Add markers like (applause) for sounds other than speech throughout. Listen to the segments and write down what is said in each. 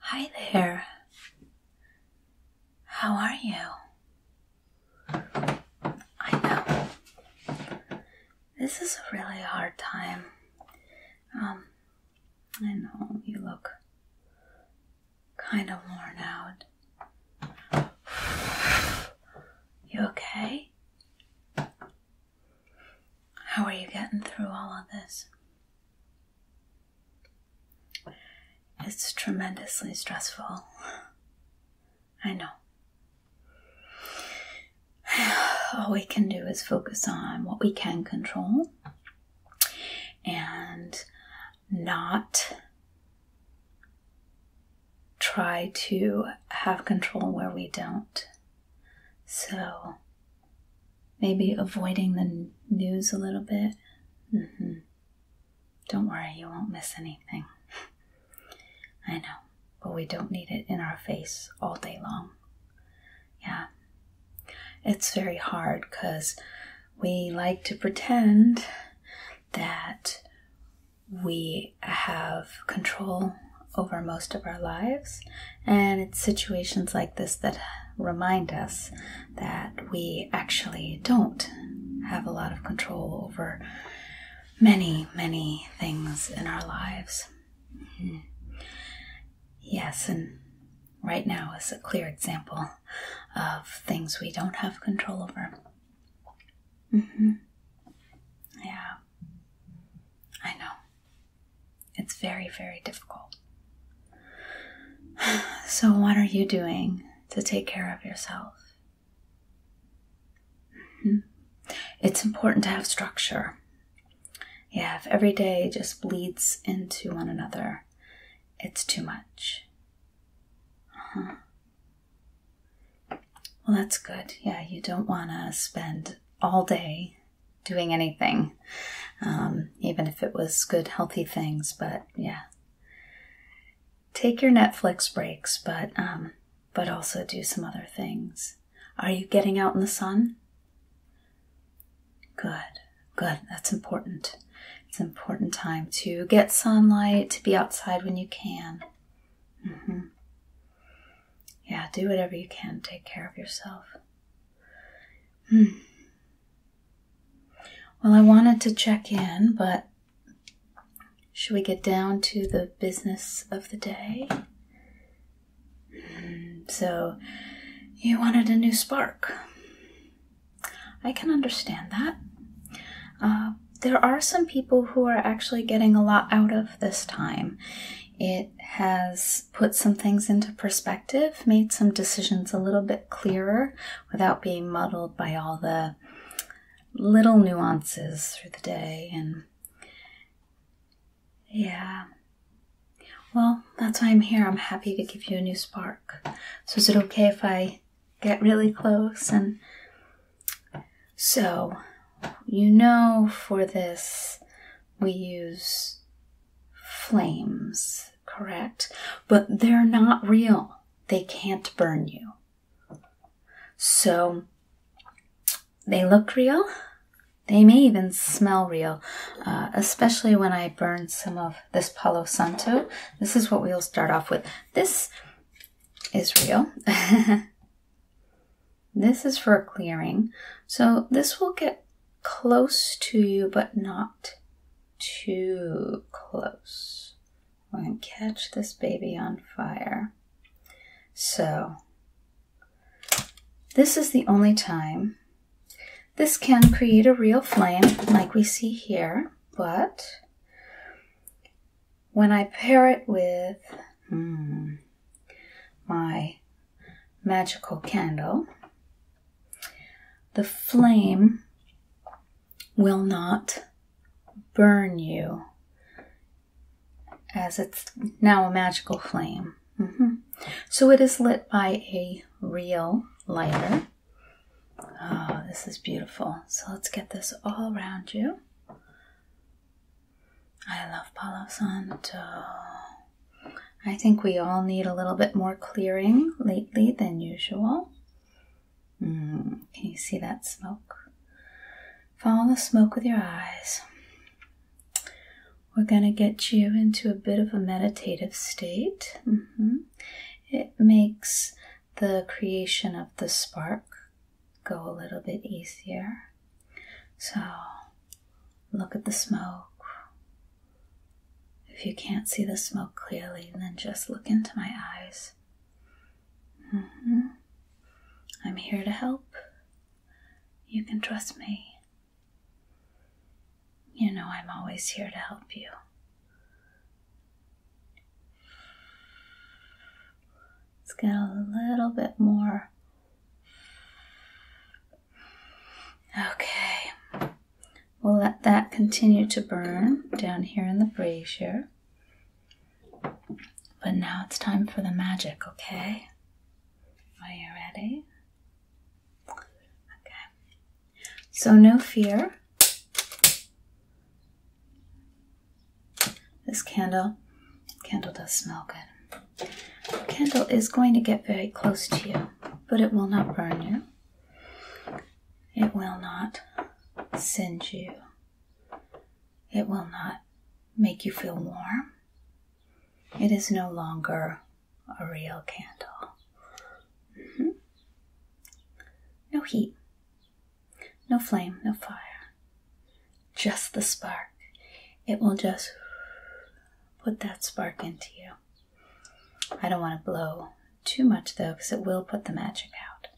Hi there. How are you? I know. This is a really hard time. Um, I know you look kind of worn out. You okay? How are you getting through all of this? It's tremendously stressful. I know. (sighs) All we can do is focus on what we can control and not try to have control where we don't. So maybe avoiding the news a little bit. Mm-hmm. Don't worry, you won't miss anything. (laughs) I know, but we don't need it in our face all day long. Yeah. It's very hard because we like to pretend that we have control over most of our lives, and it's situations like this that remind us that we actually don't have a lot of control over many, many things in our lives. Mm-hmm. Yes, and right now is a clear example of things we don't have control over. Mm-hmm. Yeah. I know. It's very, very difficult. (sighs) So, what are you doing to take care of yourself? Mm-hmm. It's important to have structure. Yeah, if every day just bleeds into one another, it's too much. Uh-huh. Well, that's good. Yeah, you don't want to spend all day doing anything, um, even if it was good, healthy things. But yeah, take your Netflix breaks, but um, but also do some other things. Are you getting out in the sun? Good, good. That's important. It's an important time to get sunlight, to be outside when you can. Mm-hmm. Yeah, do whatever you can. Take care of yourself. Hmm. Well, I wanted to check in, but should we get down to the business of the day? Hmm, so, you wanted a new spark. I can understand that. Uh, there are some people who are actually getting a lot out of this time. It has put some things into perspective, made some decisions a little bit clearer without being muddled by all the little nuances through the day. And yeah. Well, that's why I'm here. I'm happy to give you a new spark. So, is it okay if I get really close and so, you know, for this, we use flames, correct? But they're not real. They can't burn you. So, they look real. They may even smell real, uh, especially when I burn some of this Palo Santo. This is what we'll start off with. This is real. (laughs) This is for clearing. So this will get close to you, but not too close. We're going to catch this baby on fire. So this is the only time. This can create a real flame like we see here, but when I pair it with hmm, my magical candle, the flame will not burn you as it's now a magical flame. Mm-hmm. So it is lit by a real lighter. Oh, this is beautiful. So let's get this all around you. I love Palo Santo. I think we all need a little bit more clearing lately than usual. Mm, can you see that smoke? Follow the smoke with your eyes. We're going to get you into a bit of a meditative state. Mm-hmm. It makes the creation of the spark go a little bit easier. So look at the smoke. If you can't see the smoke clearly, then just look into my eyes. Mm-hmm. I'm here to help. You can trust me. You know I'm always here to help you. Let's get a little bit more. Okay, we'll let that continue to burn down here in the brazier. But now it's time for the magic, okay? Are you ready? Okay. So, no fear. This candle, candle does smell good. candle is going to get very close to you, but it will not burn you. It will not singe you. It will not make you feel warm. It is no longer a real candle. Mm-hmm. No heat, no flame, no fire. Just the spark. It will just put that spark into you. I don't want to blow too much though, because it will put the magic out.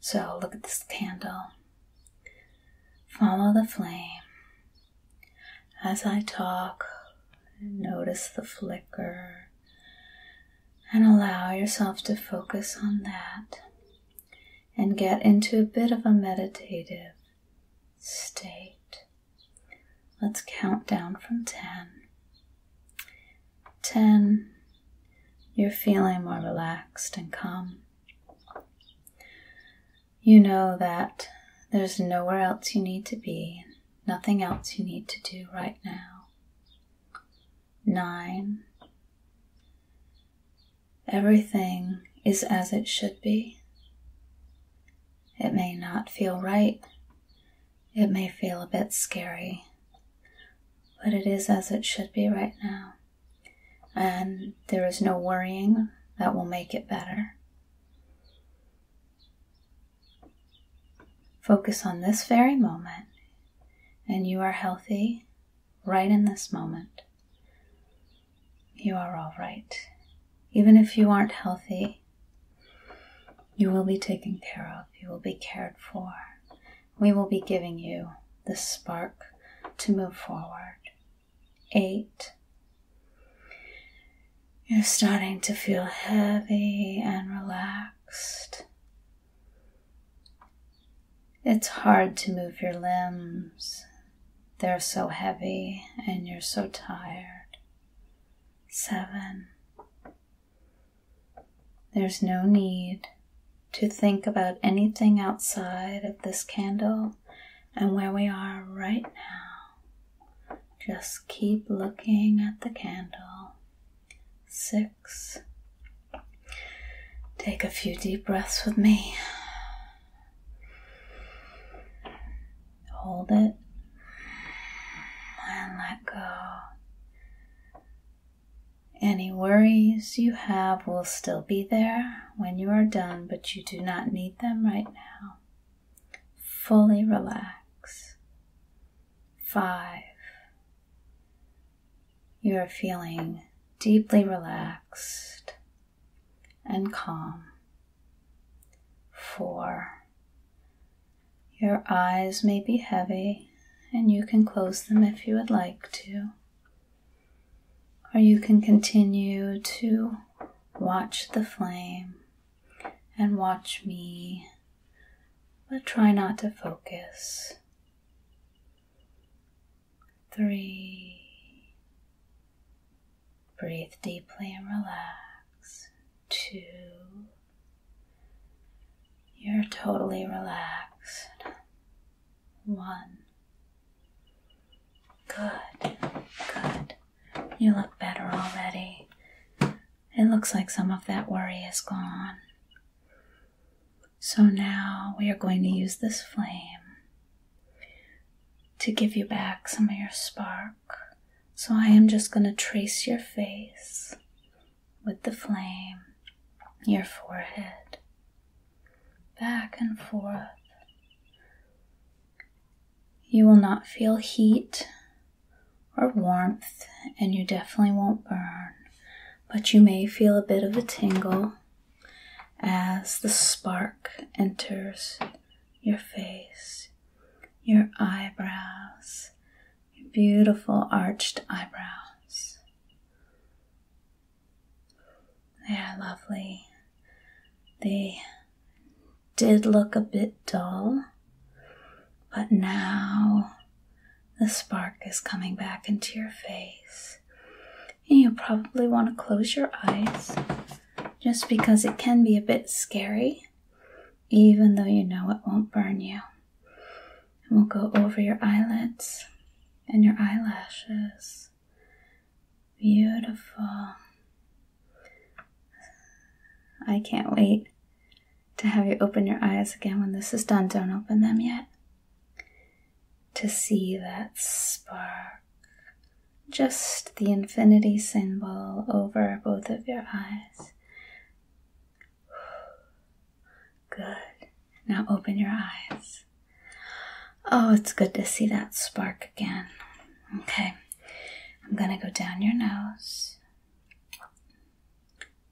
So look at this candle. Follow the flame. As I talk, notice the flicker and allow yourself to focus on that and get into a bit of a meditative state. Let's count down from 10. 10. You're feeling more relaxed and calm. You know that there's nowhere else you need to be, nothing else you need to do right now nine. Everything is as it should be. It may not feel right. It may feel a bit scary. But it is as it should be right now. And there is no worrying that will make it better. Focus on this very moment and you are healthy right in this moment. You are all right. Even if you aren't healthy, you will be taken care of, you will be cared for. We will be giving you the spark to move forward. Eight. You're starting to feel heavy and relaxed. It's hard to move your limbs. They're so heavy and you're so tired. Seven. There's no need to think about anything outside of this candle and where we are right now. Just keep looking at the candle six. Take a few deep breaths with me. Hold it and let go. Any worries you have will still be there when you are done, but you do not need them right now. Fully relax. Five you are feeling deeply relaxed and calm. Four, your eyes may be heavy and you can close them if you would like to, or you can continue to watch the flame and watch me but try not to focus. Three. Breathe deeply and relax. Two. You're totally relaxed. One. Good, good. You look better already. It looks like some of that worry is gone. So now we are going to use this flame to give you back some of your spark. So I am just going to trace your face with the flame, your forehead, back and forth. You will not feel heat or warmth, and you definitely won't burn, but you may feel a bit of a tingle as the spark enters your face, your eyebrows, your beautiful arched eyebrows. They are lovely. They did look a bit dull, but now the spark is coming back into your face. And you probably want to close your eyes just because it can be a bit scary, even though you know it won't burn you. It will go over your eyelids and your eyelashes. Beautiful. (sighs) I can't wait to have you open your eyes again when this is done. Don't open them yet. To see that spark, just the infinity symbol over both of your eyes. (sighs) Good. Now open your eyes. Oh, it's good to see that spark again. Okay, I'm gonna go down your nose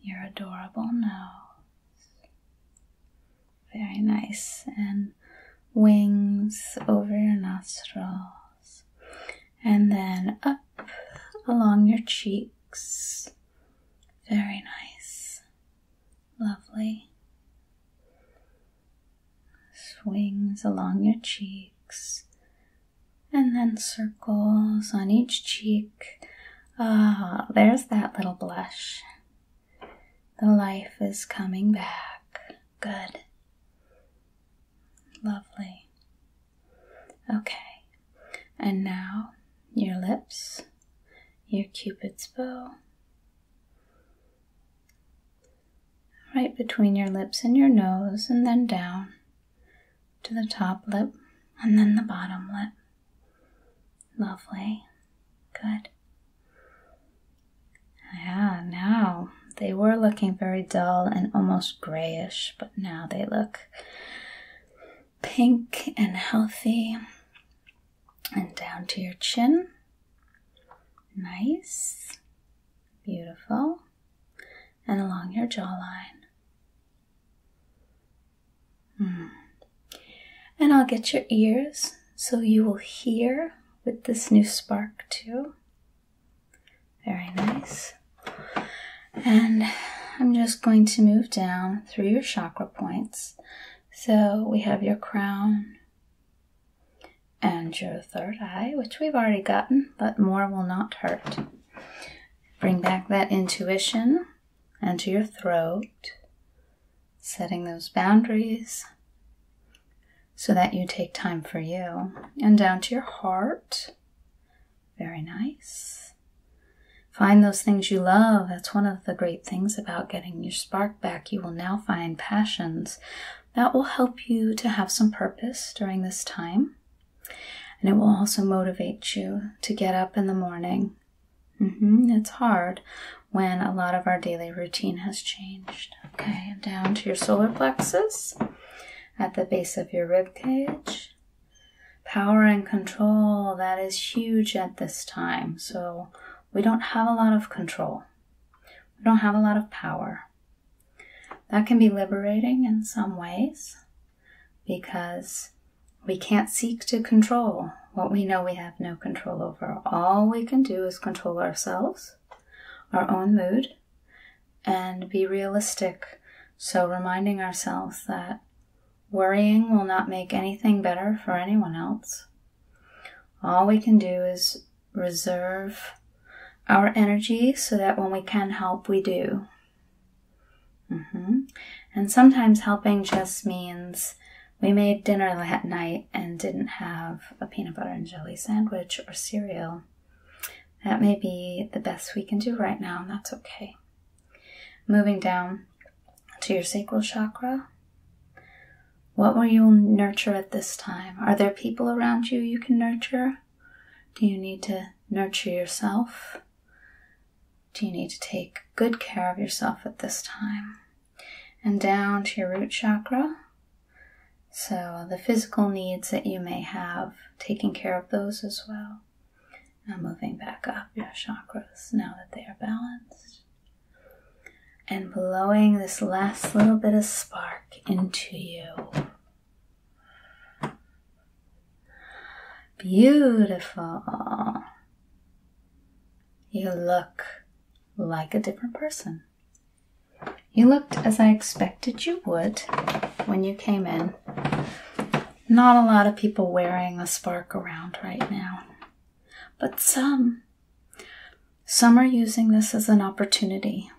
your adorable nose. Very nice. And wings over your nostrils. And then up along your cheeks. Very nice. Lovely. Swings along your cheeks and then circles on each cheek. Ah, there's that little blush. The life is coming back. Good. Lovely. Okay, and now your lips, your cupid's bow. Right between your lips and your nose, and then down to the top lip and then the bottom lip. Lovely. Good. Yeah, now they were looking very dull and almost grayish, but now they look pink and healthy. And down to your chin. Nice. Beautiful and along your jawline. Hmm. And I'll get your ears so you will hear with this new spark too. Very nice. And I'm just going to move down through your chakra points. So we have your crown, and your third eye, which we've already gotten, but more will not hurt. Bring back that intuition and to your throat, setting those boundaries so that you take time for you. And down to your heart. Very nice. Find those things you love. That's one of the great things about getting your spark back. You will now find passions that will help you to have some purpose during this time. And it will also motivate you to get up in the morning. Mm-hmm. It's hard when a lot of our daily routine has changed. Okay, down to your solar plexus at the base of your rib cage. Power and control, that is huge at this time. So we don't have a lot of control. We don't have a lot of power. That can be liberating in some ways because we can't seek to control what we know we have no control over. All we can do is control ourselves, our own mood, and be realistic. So, reminding ourselves that worrying will not make anything better for anyone else. All we can do is reserve our energy so that when we can help, we do. Mm-hmm. And sometimes helping just means we made dinner that night and didn't have a peanut butter and jelly sandwich or cereal. That may be the best we can do right now, and that's okay. Moving down to your sacral chakra, what will you nurture at this time? Are there people around you you can nurture? Do you need to nurture yourself? Do you need to take good care of yourself at this time? And down to your root chakra. So, the physical needs that you may have, taking care of those as well. Now, moving back up your chakras now that they are balanced and blowing this last little bit of spark into you. Beautiful. You look like a different person. You looked as I expected you would when you came in. Not a lot of people wearing a spark around right now, but some some are using this as an opportunity.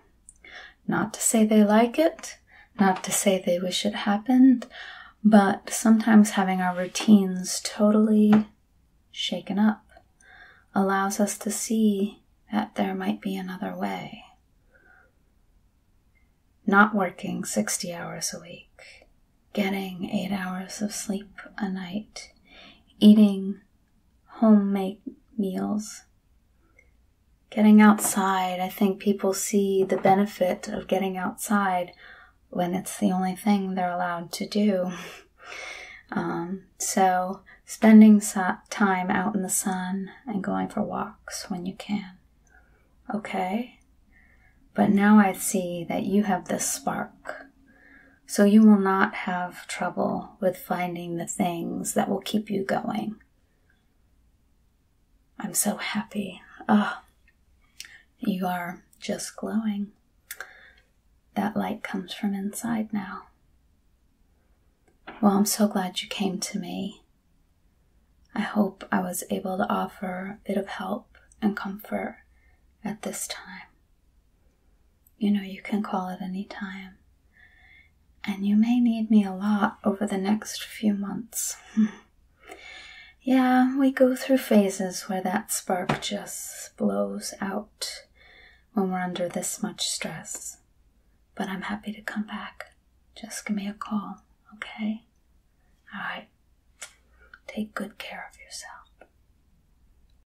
Not to say they like it, not to say they wish it happened, but sometimes having our routines totally shaken up allows us to see that there might be another way. Not working 60 hours a week, getting 8 hours of sleep a night, eating homemade meals. Getting outside, I think people see the benefit of getting outside when it's the only thing they're allowed to do. (laughs) Um, so, spending time out in the sun and going for walks when you can. Okay? But now I see that you have this spark so you will not have trouble with finding the things that will keep you going. I'm so happy. Ah, you are just glowing. That light comes from inside now. Well, I'm so glad you came to me. I hope I was able to offer a bit of help and comfort at this time. You know, you can call at any time. And you may need me a lot over the next few months. (laughs) yeah, we go through phases where that spark just blows out when we're under this much stress. But I'm happy to come back. Just give me a call, okay? Alright. Take good care of yourself.